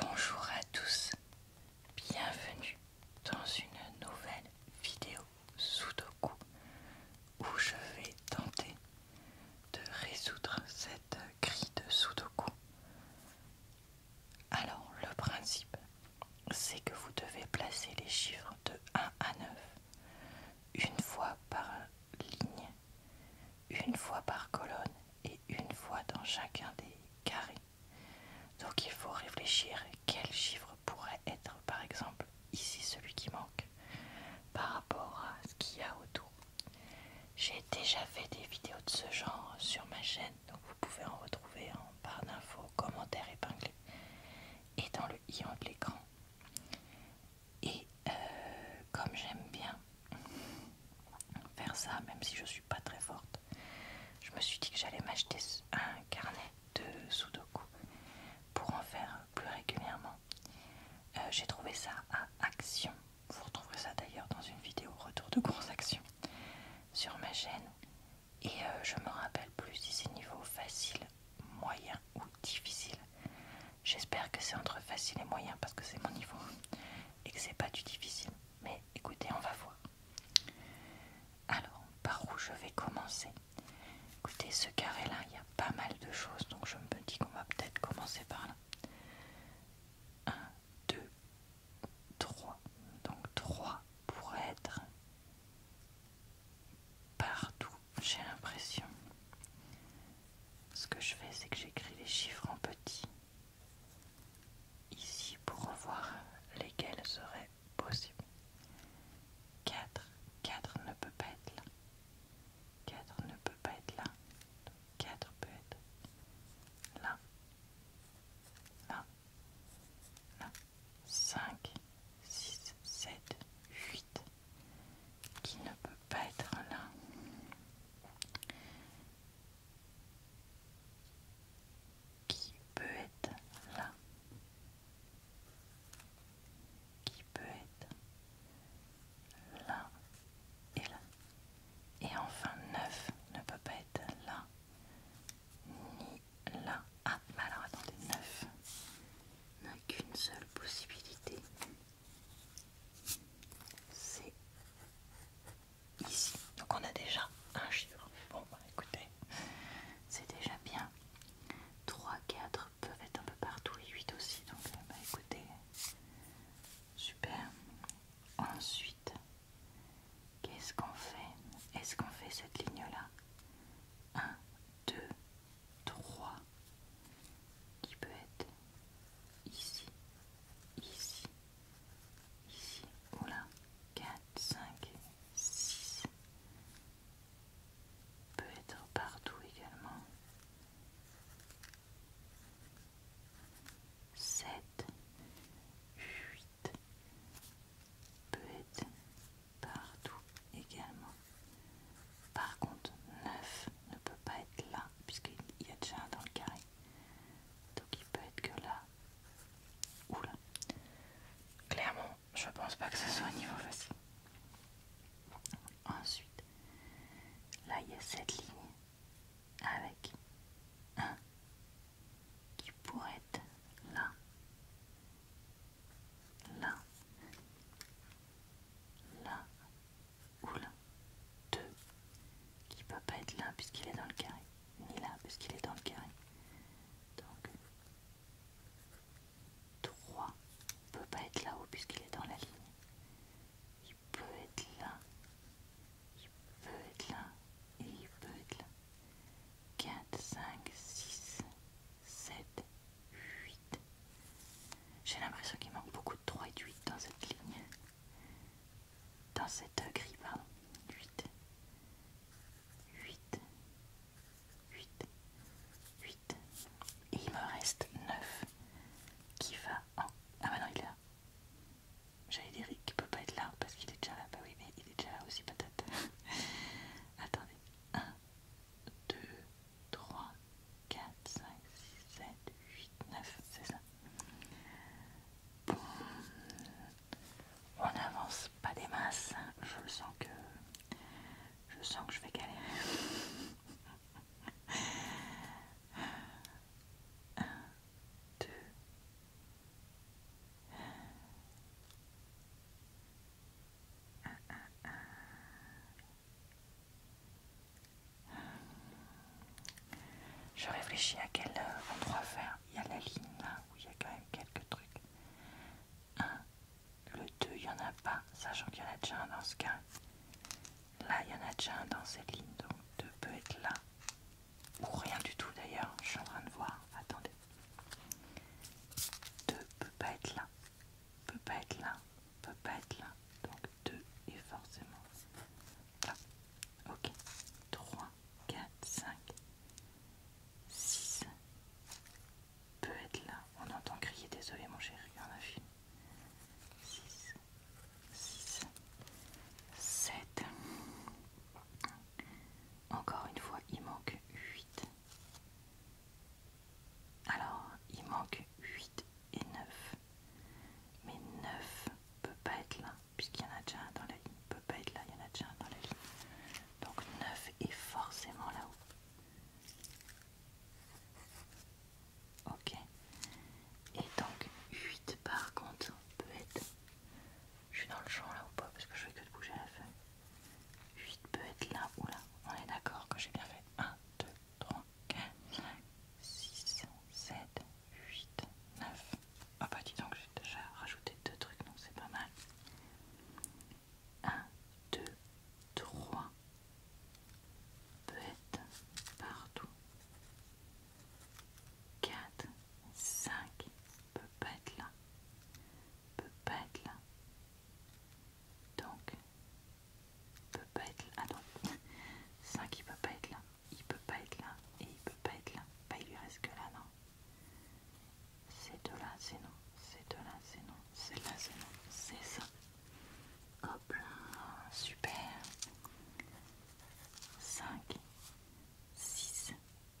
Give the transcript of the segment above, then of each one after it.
Bonjour à tous, bienvenue dans une nouvelle vidéo Sudoku où je vais tenter de résoudre cette grille de Sudoku. Alors le principe c'est que vous devez placer les chiffres de 1 à 9 une fois par ligne, une fois par colonne et une fois dans chacun des carrés. Donc il faut réfléchir quel chiffre pourrait être par exemple ici celui qui manque par rapport à ce qu'il y a autour. J'ai déjà fait des vidéos de ce genre sur ma chaîne, donc vous pouvez en retrouver en barre d'infos, commentaires épinglés et dans le i de l'écran. Et euh, comme j'aime bien faire ça, même si je suis pas très forte. Je me suis dit que j'allais m'acheter un carnet de Sudoku pour en faire plus régulièrement. Euh, j'ai trouvé ça à Action. Vous retrouverez ça d'ailleurs dans une vidéo retour de grosses Action sur ma chaîne. Et euh, je me rappelle plus si c'est niveau facile, moyen ou difficile. J'espère que c'est entre facile et moyen parce que c'est mon niveau et que c'est pas du difficile. Mais écoutez, on va voir. Alors, par où je vais commencer Écoutez, ce carré-là, il y a pas mal de choses, donc je me dis qu'on va peut-être commencer par là. 1, 2, 3. Donc 3 pour être partout, j'ai l'impression. Ce que je fais, c'est que j'écris les chiffres en petits ici pour voir lesquels seraient possibles. 4, 4 ne peut pas être là. 4 ne peut pas être là. 4 peut être là. Là. Là. 5, 6, 7, 8 qui ne peut pas être là. Qui peut être là Qui peut être là et là Et enfin neuf ne peut pas être là ni là. Ah, alors attendez, neuf n'a qu'une seule possibilité. C'est ici. Donc on a déjà un chiffre. Bon bah écoutez, c'est déjà bien. 3, 4 peuvent être un peu partout et 8 aussi. Donc euh, bah écoutez, super. Ensuite, qu'est-ce qu'on fait Est-ce qu'on fait cette ligne-là 1, 2, 3 qui peut être ici, ici, ici ou 4, 5, 6 peut être partout également 7, 8 peut être partout également par contre 9 ne peut pas être là puisqu'il y a déjà un dans le carré donc il peut être que là Oula. Clairement, je pense pas que ce soit au niveau facile. Ensuite, là il y a cette ligne avec un qui pourrait être là, là, là ou là. Deux qui peut pas être là puisqu'il est dans le carré ni là puisqu'il est dans le carré. Donc 3 ne peut pas être là-haut puisqu'il est dans la ligne. Il peut être là, il peut être là et il peut être là. 4, 5, 6, 7, 8. J'ai l'impression qu'il manque beaucoup de 3 et de 8 dans cette ligne dans cette grille, pardon, 8, 8, 8, 8, il me reste 9 qui va en. Ah bah non, il est là. J'allais dire qu'il peut pas être là parce qu'il est déjà là, bah oui, mais il est déjà là aussi, patate. Attendez, 1, 2, 3, 4, 5, 6, 7, 8, 9, c'est ça on n'avance pas des masses. Je sens que je sens que je vais galérer. deux. Je réfléchis à quel endroit faire. Il y a la ligne là où il y a quand même quelques trucs. 1, le 2, il n'y en a pas, sachant qu'il y en a déjà un dans ce cas. Là, il y en a déjà un dans cette ligne, donc 2 peut être là. Ou rien du tout d'ailleurs, je suis en train de voir. Attendez. 2 peut pas être là, peut pas être là, peut pas être là. Donc 2 est forcément là. Ok. 3 4, 5, 6 peut être là. On entend crier, désolé mon chéri, en a fini, 6, 6, 7. Encore une fois, il manque 8. Alors, il manque 8 et 9. Mais 9 ne peut pas être là, puisqu'il y en a déjà un dans la ligne pas être là, il y en a déjà dans la ligne. Donc 9 est forcément là-haut. Ok. Et donc 8 par contre peut être... Je suis dans le champ là ou pas parce que je veux que de bouger la feuille. 8 peut être là ou là. On est d'accord que j'ai bien fait. 1, 2, 3, 4, 5, 6, 7, 8, 9. Ah bah dis donc, j'ai déjà rajouté deux trucs, non c'est pas mal. 1, 2, 3. peut être, partout. 4, 5. Peut pas être là. Peut pas être là. Donc, peut être là. Ah non, 5 il peut pas être là il peut pas être là et il peut pas être là. Bah il lui reste que là, non. C'est de là c'est non. C'est de là c'est non. C'est là c'est non. C'est ça. Hop là, super. 5, 6.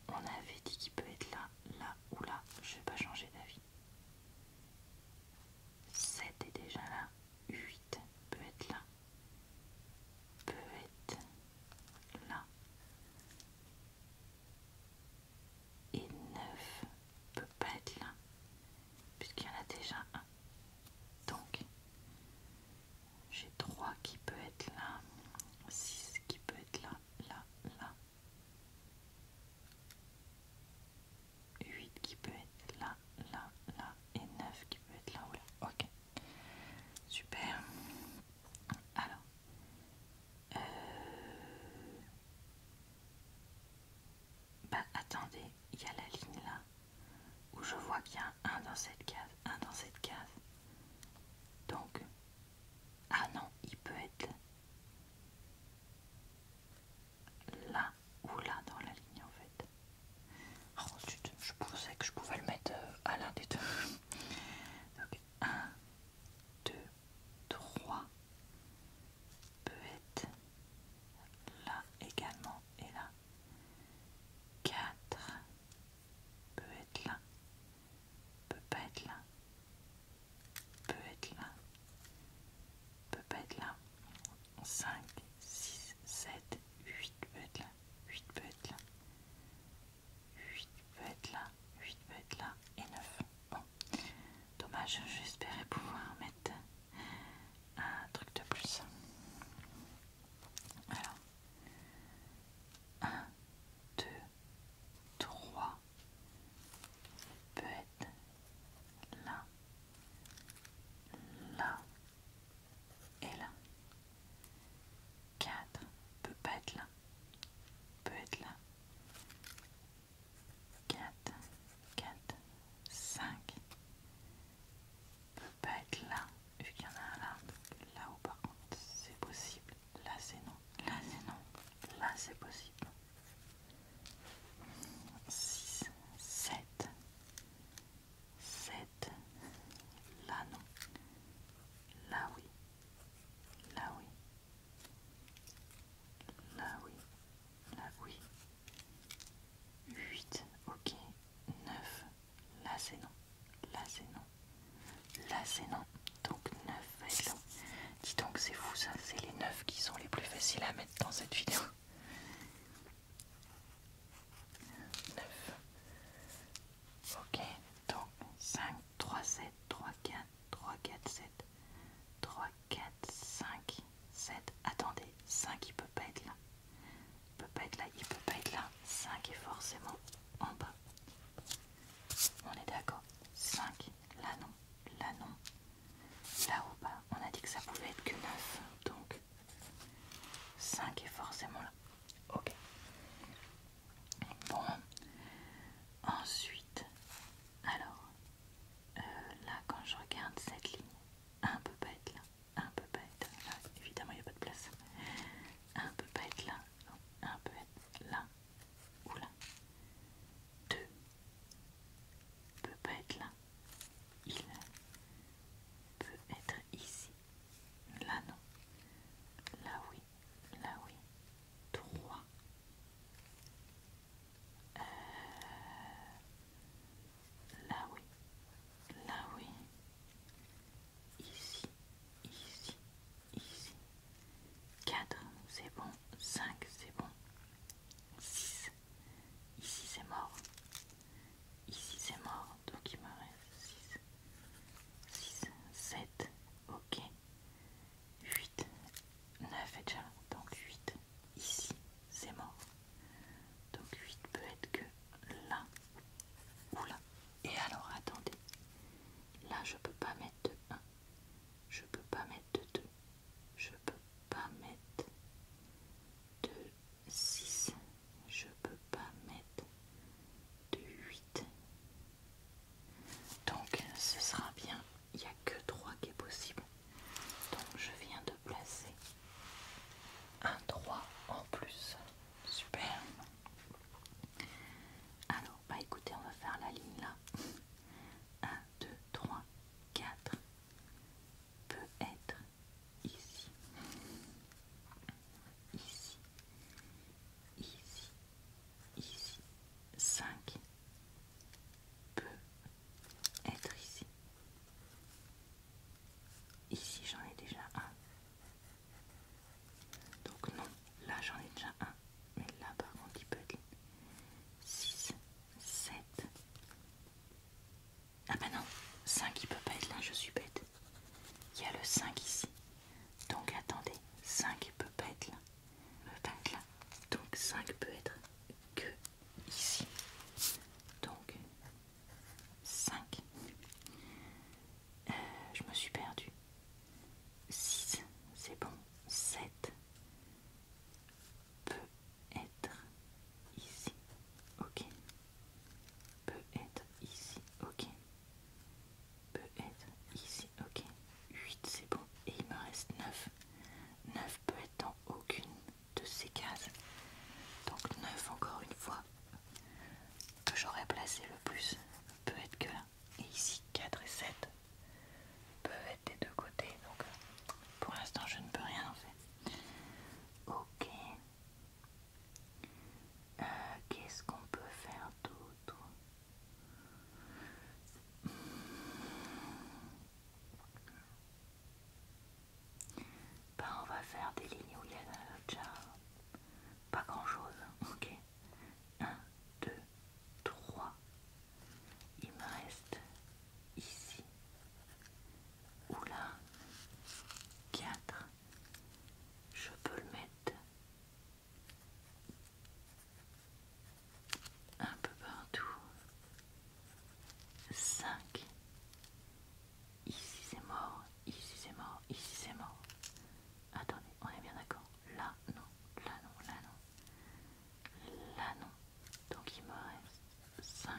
On avait dit qu'il peut être là, là ou là. Je vais pas changer d'avis. 7 est déjà là. 8 peut être là peut être là et 9 peut pas être là puisqu'il y en a déjà un donc j'ai 3 qui peut être là 6 qui peut être là là là 8 qui peut être là là là et 9 qui peut être là ou là ok Super. Alors. Euh, bah attendez, il y a la ligne là où je vois qu'il y a un dans cette case, un dans cette case. Donc, ah non, il peut être là ou là dans la ligne en fait. Ensuite, oh, je pensais que je pouvais le mettre euh, à l'un des deux. Donc 1, 2, 3 peut être là également et là. 4 peut être là, peut pas être là, peut être là, peut pas être là. 5, 6, 7, 8 peut être là, 8 peut être là, 8 peut être là, 8 peut être là et 9. Bon, dommage, j'espérais pouvoir mettre un truc de plus. Alors, 1, 2, 3 peut être là, là et là. 4 peut pas être là, peut être là. 4, 4, 5 peut être là, vu qu'il y en a un là, là-haut par contre c'est possible, là c'est non, là c'est non, là c'est possible. 6, 7, 7, là non, Là oui. Là oui. Là oui. Là oui. 8. Ok. 9. Là c'est non. Là c'est non. Là c'est non. Donc 9 va être là. Dis donc c'est fou ça. C'est les 9 qui sont les plus faciles à mettre dans cette vidéo. 9. Ok, donc 5, 3, 7, 3, 4, 3, 4, 7, 3, 4, 5, 7. Attendez, 5 il peut pas être là. Il peut pas être là, il peut pas être là. 5 est forcément en bas. On est d'accord. 5, là non, là non. Là ou bas, on a dit que ça pouvait être que 9. Donc 5 est forcément là. Ok. Bon, ensuite, alors, euh, là quand je regarde cette ligne, un peu pas être là, un peu pas être là, évidemment il n'y a pas de place, un peu pas être là, un peu être là ou là, deux, peut pas être là, il peut être ici, là non, là oui là oui, 3. Euh, là oui, là oui, ici, ici, ici, 4, c'est bon, 5, c'est bon, 6, ici c'est mort, ici c'est mort, donc il me reste 6, 6, 7, ok, 8, 9 et déjà donc 8 ici, c'est mort. Donc 8 peut être que là ou là. Et alors attendez, là je peux pas mettre de 1, je peux pas mettre de 2, je peux pas mettre de 6, je peux pas mettre de 8. Donc ce sera bien, il n'y a que 3 qui est possible. Donc je viens de placer un 3 en plus. Super. Alors, bah écoutez, on va faire la ligne là. 1, 2, 3, 4 peut être ici. Ici ici, ici. 5 peut être ici. Ici, j'en ai déjà un. Donc non, là j'en ai déjà un. Mais là par contre, il peut être 6, 7. Ah bah non, 5 il peut pas être là, je suis bête. Il y a le 5 ici. Donc attendez, 5 peut être là. Peut pas là. Donc 5 peut être que ici. Donc 5. Euh, je me suis perdue. 6, c'est bon. 7 peut être ici. Ok. Peut être ici. Ok peut être ici, ok. 8 c'est bon. Et il me reste 9. 9 peut être dans aucune de ces cases. Donc 9 encore une fois que j'aurais placé le plus peut être que là. Et ici 4 et 7 peuvent être des deux côtés. Donc pour l'instant je ne peux rien en fait Ok. Euh, qu'est-ce qu'on peut faire d'autre ben, on va faire des lignes où il y a déjà pas grand chose, ok 1, 2, 3. Il me reste ici. Ou là. 4. Je peux le mettre un peu partout. 5. Ici c'est mort, ici c'est mort, ici c'est mort. Attendez, on est bien d'accord. Là non, là non, là non. Là non. Donc il me reste 5.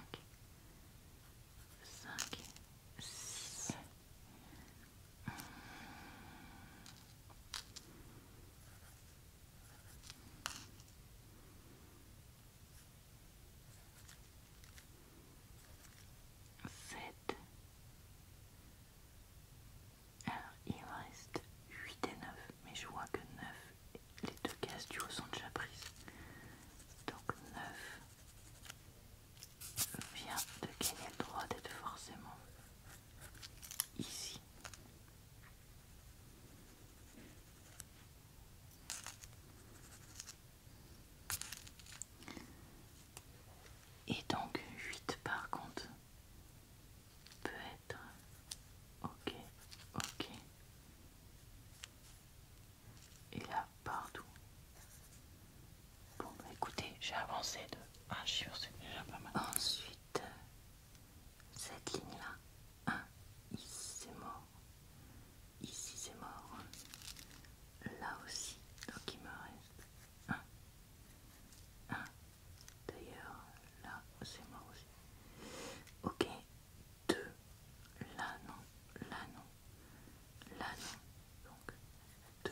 5, 6, 7 alors il reste 8 et 9 mais je vois que 9 les deux cases du haut sont déjà prises donc 9 vient de gagner le droit d'être forcément ici. Et donc 8 par contre peut être ok, ok. Et là partout. Bon, bah, écoutez, j'ai avancé de 1, chiffre, c'est déjà pas mal. Ensuite, cette ligne-là, 1, ici c'est mort, ici c'est mort, là aussi, donc il me reste 1, 1, d'ailleurs là c'est mort aussi. Ok, 2, là non, là non, là non, donc 2,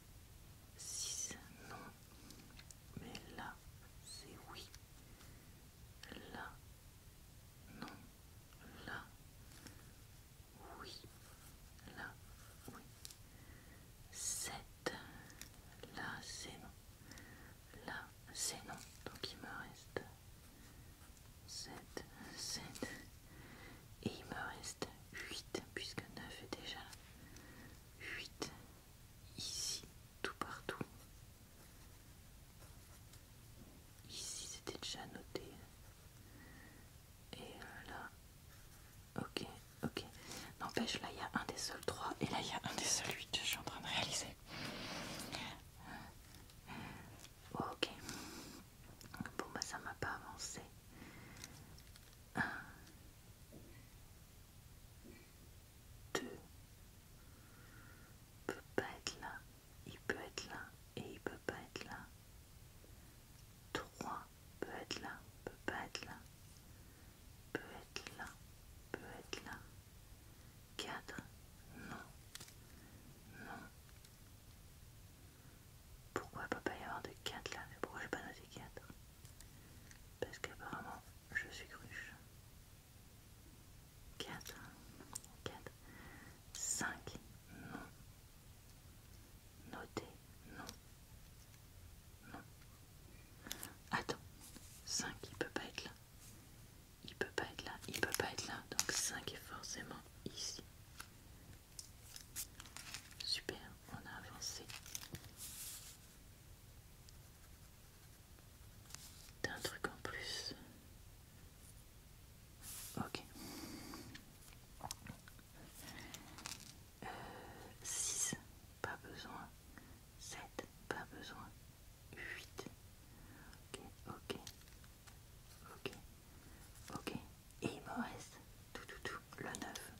6 non mais là c'est oui là non là oui là oui 7 là c'est non là c'est non donc il me reste 7 7 et il me reste 8 puisque 9 est déjà 8 ici tout partout ici c'était déjà noté et euh, là ok ok n'empêche là il y a un des seuls 3 et là il y a un des seuls 8 je suis en train de réaliser ok bon bah ça m'a pas avancé 1, 2, peut pas être là, il peut être là et il peut pas être là, 3, peut être là, peut pas être là, peut être là, peut être là, 4, non, non, pourquoi il peut pas y avoir de 4 là, mais pourquoi j'ai pas noté 4 parce qu'apparemment, je suis cruche. 4, 4, 5, non. Notez, non. Non. Attends, 5, il peut pas être là. Il peut pas être là, il peut pas être là. Donc 5 est forcément ici. Super, on a avancé d'un truc en plus. Ok. 6, euh, pas besoin. 7, pas besoin. 8. Ok, ok. Ok. Ok. Et il me reste tout, le 9,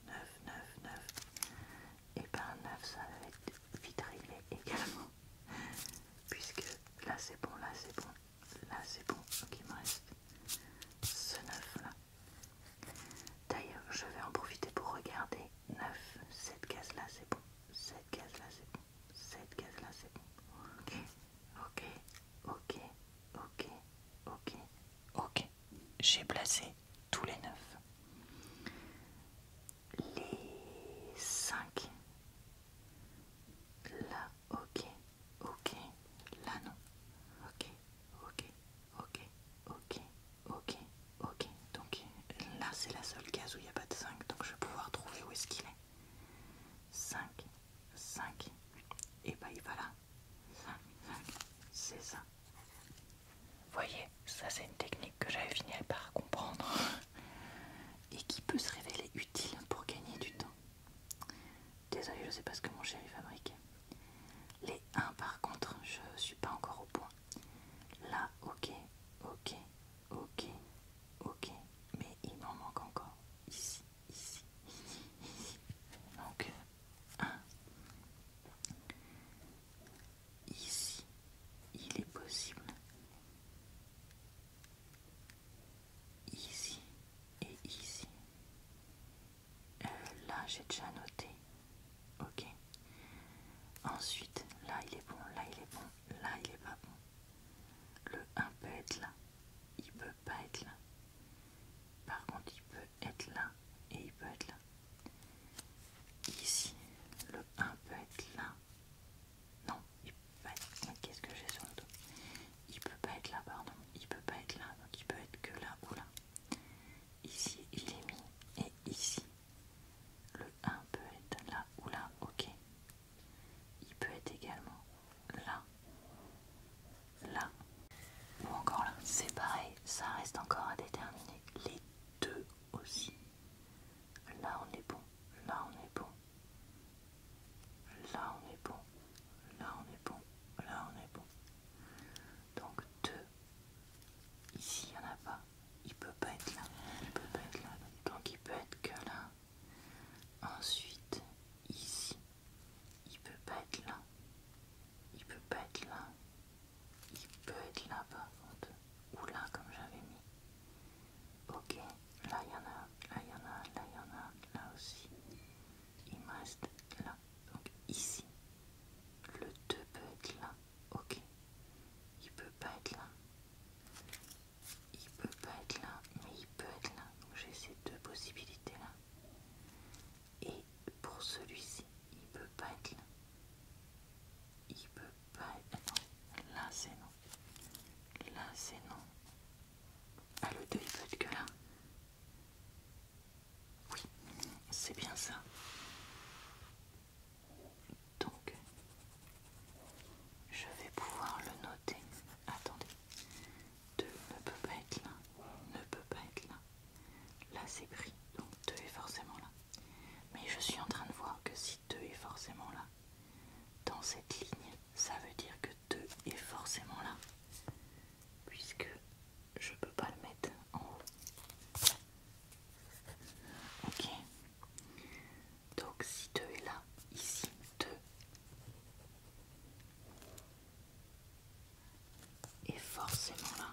9, 9, 9, et ben 9 ça va être vite également, puisque là c'est bon, là c'est bon, là c'est bon, donc il me reste ce 9 là. D'ailleurs, je vais en profiter pour regarder 9, cette case là c'est bon, cette case là c'est bon, cette case là c'est bon, ok, ok, ok, ok, ok. Ok, j'ai placé tous les 9. Les 5 Là, ok, ok, là non. Ok, ok, ok, ok, ok, ok. Donc là c'est la seule case où il n'y a pas de 5, donc je vais pouvoir trouver où est-ce qu'il est. 5, 5, et bah il va là. 5, 5, c'est ça. Voyez, ça c'est une technique que j'avais fini par comprendre et qui peut se révéler utile pour gagner du temps. Désolée, je ne sais pas ce que mon chéri fabrique Les 1 par contre, je suis pas encore au point. Là, ok, ok, ok, ok, mais il m'en manque encore. Ici, ici, ici, ici. Donc euh, 1. Ici, il est possible. Ici et ici. Euh, là, j'ai déjà noté. Ok. Ensuite, là, il est bon, là, il est bon, là, il est pas bon. Le 1 peut être là, il peut pas être là. Par contre, il peut être là et il peut être là. Ici, le 1 peut être là. Non, il peut pas être... Qu'est-ce que j'ai sur le dos Il peut pas être là, pardon. Il peut pas être là, donc il peut être que là ou là. Ici, il est mis. Et ici, le 1 peut être là ou là, ok. Il peut être également là, là ou encore là, c'est pareil, ça reste encore à déterminer. Les deux aussi. Là on est bon, là on est bon. Là on est bon, là on est bon, là on est bon. Donc deux Ici il n'y en a pas. Il peut pas être là. Il peut pas être là. Donc il peut être que là. Ensuite, ici. Il peut pas être là. Il peut pas être là. Il peut être là par contre. Ou là comme j'avais mis. Ok, là il y en a, là il y en a, là il y en a, là aussi. Il me reste là. Donc ici. Le 2 peut être là. Ok. Il peut pas être là. Il peut pas être là, mais il peut être là. Donc j'ai ces deux possibilités là. Et pour celui-ci, il peut pas être là. Il ne peut pas être non. Là c'est non. Là c'est non. Ah le 2 il peut être que là. Oui, c'est bien ça. Donc, je vais pouvoir le noter. Attendez. 2 ne peut pas être là. Ne peut pas être là. Là c'est pris, donc 2 est forcément là. Mais je suis en train de voir que si 2 est forcément là, dans cette ligne, ça veut dire que 2 est forcément là. Puisque je peux pas le mettre en haut. Ok. Donc si 2 est là, ici 2 est forcément là.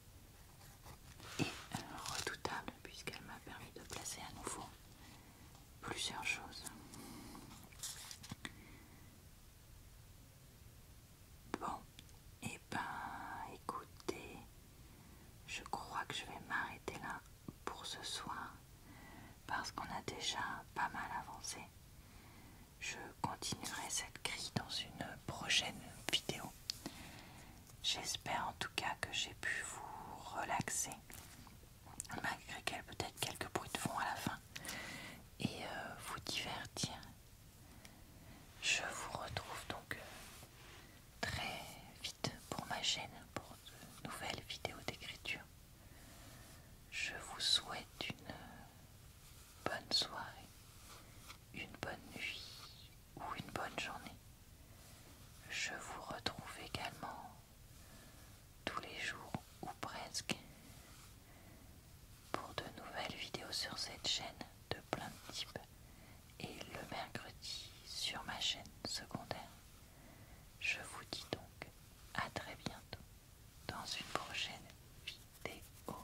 et redoutable puisqu'elle m'a permis de placer à nouveau plusieurs choses. Bon, et eh ben écoutez, je crois que je vais m'arrêter là pour ce soir parce qu'on a déjà pas mal avancé. Je continuerai cette grille dans une prochaine vidéo. J'espère en tout cas que j'ai pu vous relaxer, malgré qu peut-être quelques bruits de fond à la fin, et euh, vous divertir. Je vous retrouve donc euh, très vite pour ma chaîne, pour de nouvelles vidéos d'écriture. Je vous souhaite une euh, bonne soirée, une bonne nuit ou une bonne journée. Je vous retrouve également tous les jours ou presque pour de nouvelles vidéos sur cette chaîne de plein de types et le mercredi sur ma chaîne secondaire. Je vous dis donc à très bientôt dans une prochaine vidéo.